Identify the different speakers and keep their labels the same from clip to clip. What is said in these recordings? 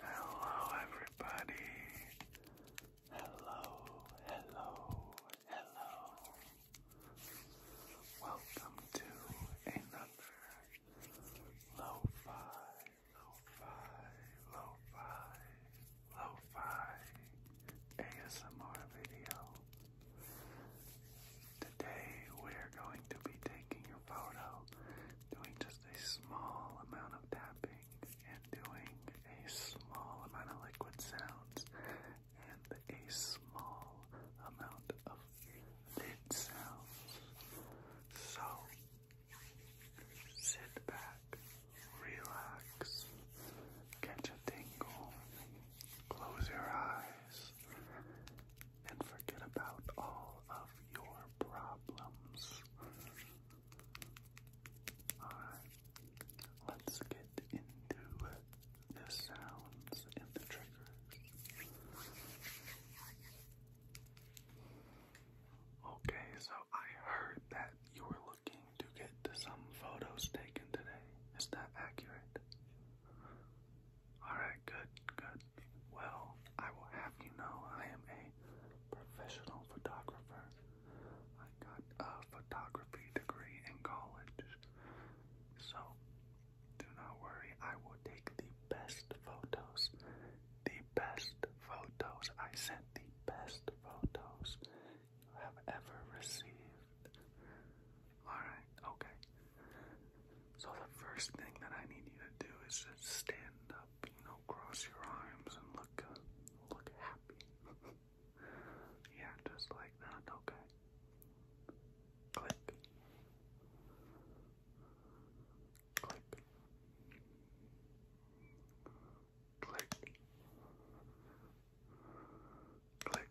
Speaker 1: Hello, everybody. Hello, hello, hello. Welcome to another lo-fi, lo-fi, lo-fi, lo-fi ASMR video. Today we're going to be taking your photo, doing just a small amount of tapping and doing a small amount of liquid sounds and a small amount of lid sounds. So sit back, relax, catch a tingle, close your eyes, and forget about all of your problems. Alright, let's get into the sounds and the triggers. Okay, so I heard that you were looking to get some photos taken today. Is that accurate? Alright, good, good. Well, I will have you know I am a professional photographer. I got a photography degree in college. So, do not worry, I will take the best photos. The best photos. I sent the best photos you have ever received. Alright, okay. So the first thing that I need you to do is just stand up, you know, cross your arms and look uh, look happy. yeah, just like that, okay. Click. Click. Click. Click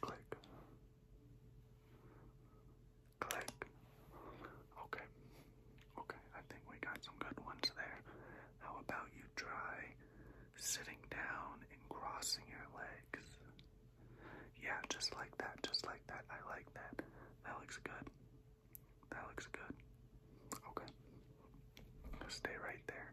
Speaker 1: Click. Click. Okay. Okay, I think we got some good ones there. How about you try sitting down and crossing your legs? Yeah, just like that, just like that. I like that. That looks good. That looks good. Okay. Stay right there.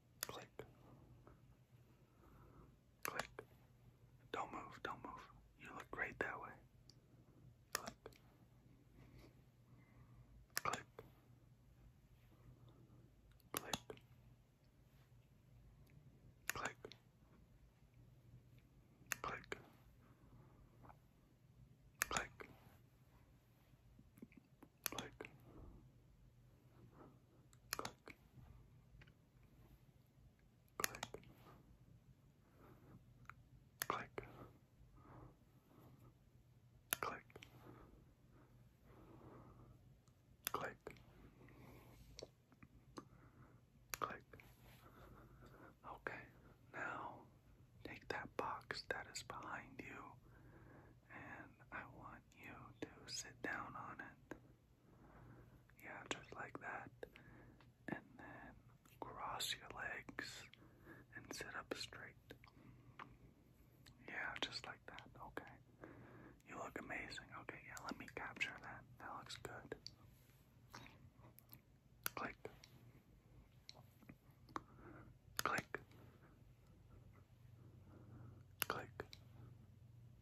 Speaker 1: Click. Click. Don't move, don't move. You look great that way. Click. Click. Click. Click. Click. Click click, click, click, click, click, click. Okay, now take that box that is behind you, and I want you to sit down on it. Yeah, just like that. And then cross your legs and sit up straight. Yeah, just like that. Okay. You look amazing. Okay, yeah, let me capture that. That looks good. Click. Click. Click.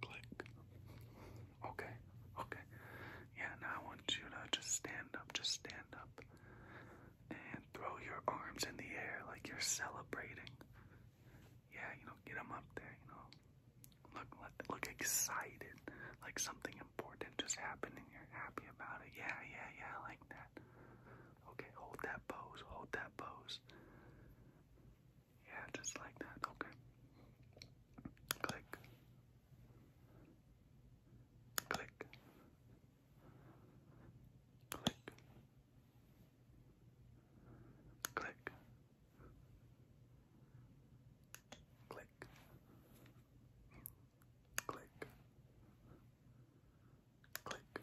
Speaker 1: Click. Okay, okay. Yeah, now I want you to just stand up, just stand up. And throw your arms in the air like you're celebrating. Yeah, you know, get them up there, you know. Look, look, look excited, like something important just happened and you're happy about it. Yeah, yeah, yeah, like that. Okay, hold that pose, hold that pose. Yeah, just like that. Okay. Click. Click. Click. Click. Click. Click. Click. Click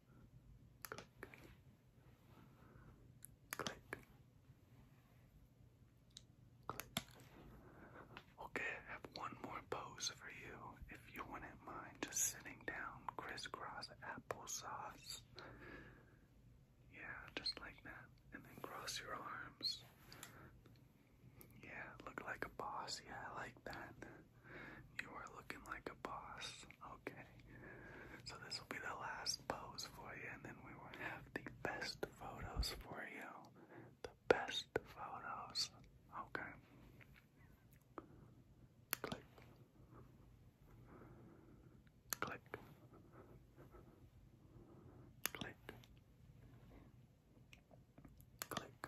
Speaker 1: click, click, click. Okay, I have one more pose for you. If you wouldn't mind just sitting down, crisscross applesauce. Yeah, just like that. And then cross your arms. Yeah, look like a boss. Yeah, I like that. You are looking like a boss. Okay already. So this will be the last pose for you, and then we will have the best photos for you. The best photos. Okay. Click. Click. Click. Click. Click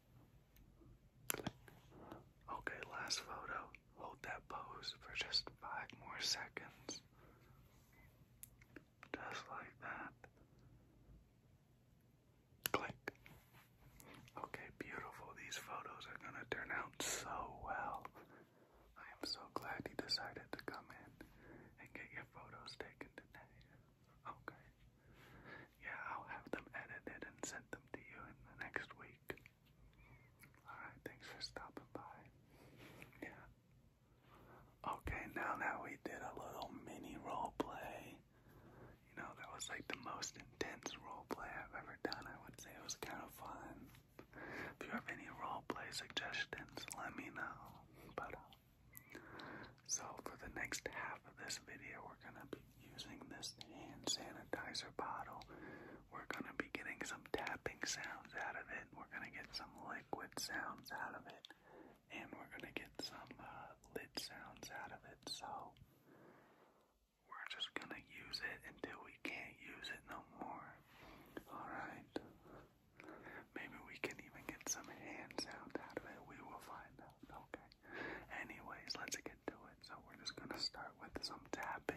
Speaker 1: Okay, last photo. Hold that pose for just five more seconds. Just like that. Click. Okay, beautiful. These photos are going to turn out so well. I am so glad you decided to come in and get your photos taken today. Okay. Yeah, I'll have them edited and sent them to you in the next week. Alright, thanks for stopping by. Yeah. Okay, now that we did a little mini role play, you know, that was like the most intense role play I've ever done. I would say it was kind of fun. If you have any role play suggestions, let me know. But, uh, so for the next half of this video, we're gonna be using this hand sanitizer bottle. We're going to be getting some tapping sounds out of it. We're going to get some liquid sounds out of it. And we're going to get some uh, lid sounds out of it. So we're just going to use it until we can't use it no more. Alright. Maybe we can even get some hand sounds out of it. We will find out. Okay. Anyways, let's get to it. So we're just gonna start with some tapping.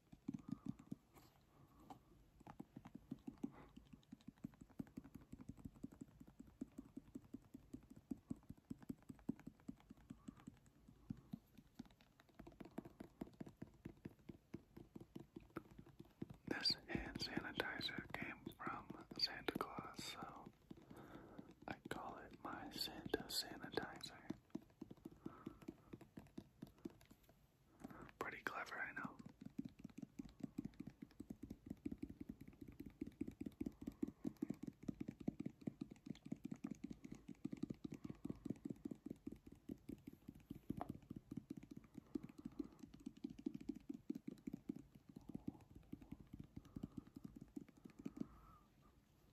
Speaker 1: This hand sanitizer came from Santa Claus, so I call it my Santa sanitizer. Pretty clever, I know.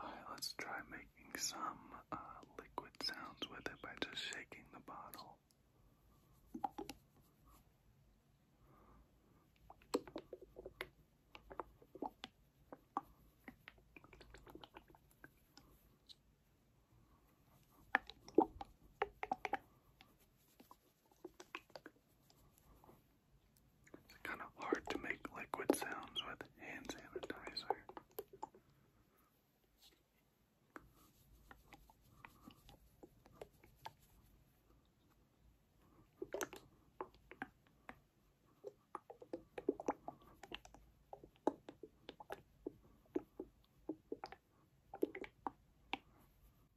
Speaker 1: Alright, let's try making some uh, liquid sounds with it by just shaking the bottle. It's kind of hard to make liquid sounds with hand sanitizer.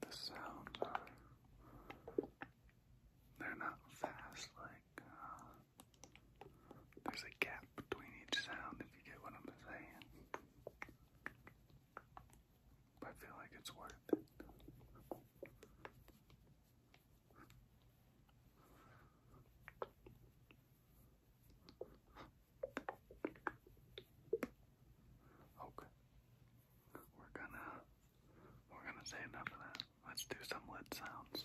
Speaker 1: the sound they're not fast like uh, there's a gap between each sound if you get what I'm saying. I feel like it's worth it. Okay we're gonna we're gonna say enough of that. Let's do some lid sounds.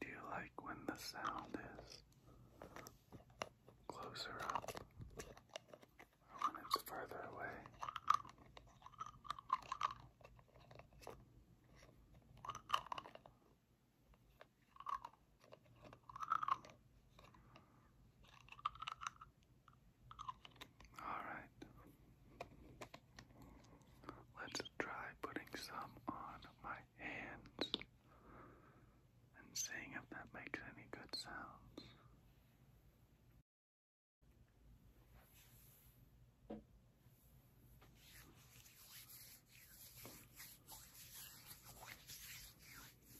Speaker 1: Do you like when the sound is closer up or when it's further away? All right. Let's try putting some on my hands and seeing if that makes any good sounds.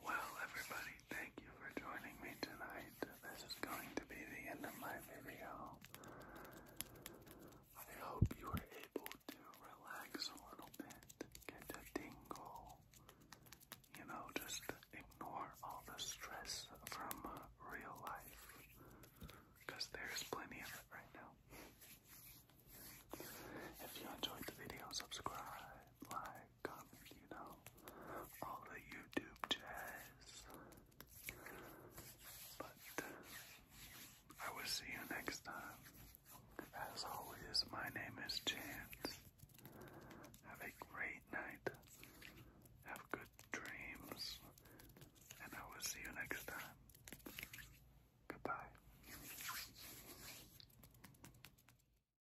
Speaker 1: Well, everybody, thank you for joining me tonight. This is going to be the end of my video. I hope you were able to relax a little bit, get a tingle. You know, just ignore all the stress from real life, because there's plenty of it right now. If you enjoyed the video, subscribe, like, comes, you know, all the YouTube jazz. But uh, I will see you next time. As always, my name is Chance. Have a great night. Have good dreams. And I will see you next time. Goodbye.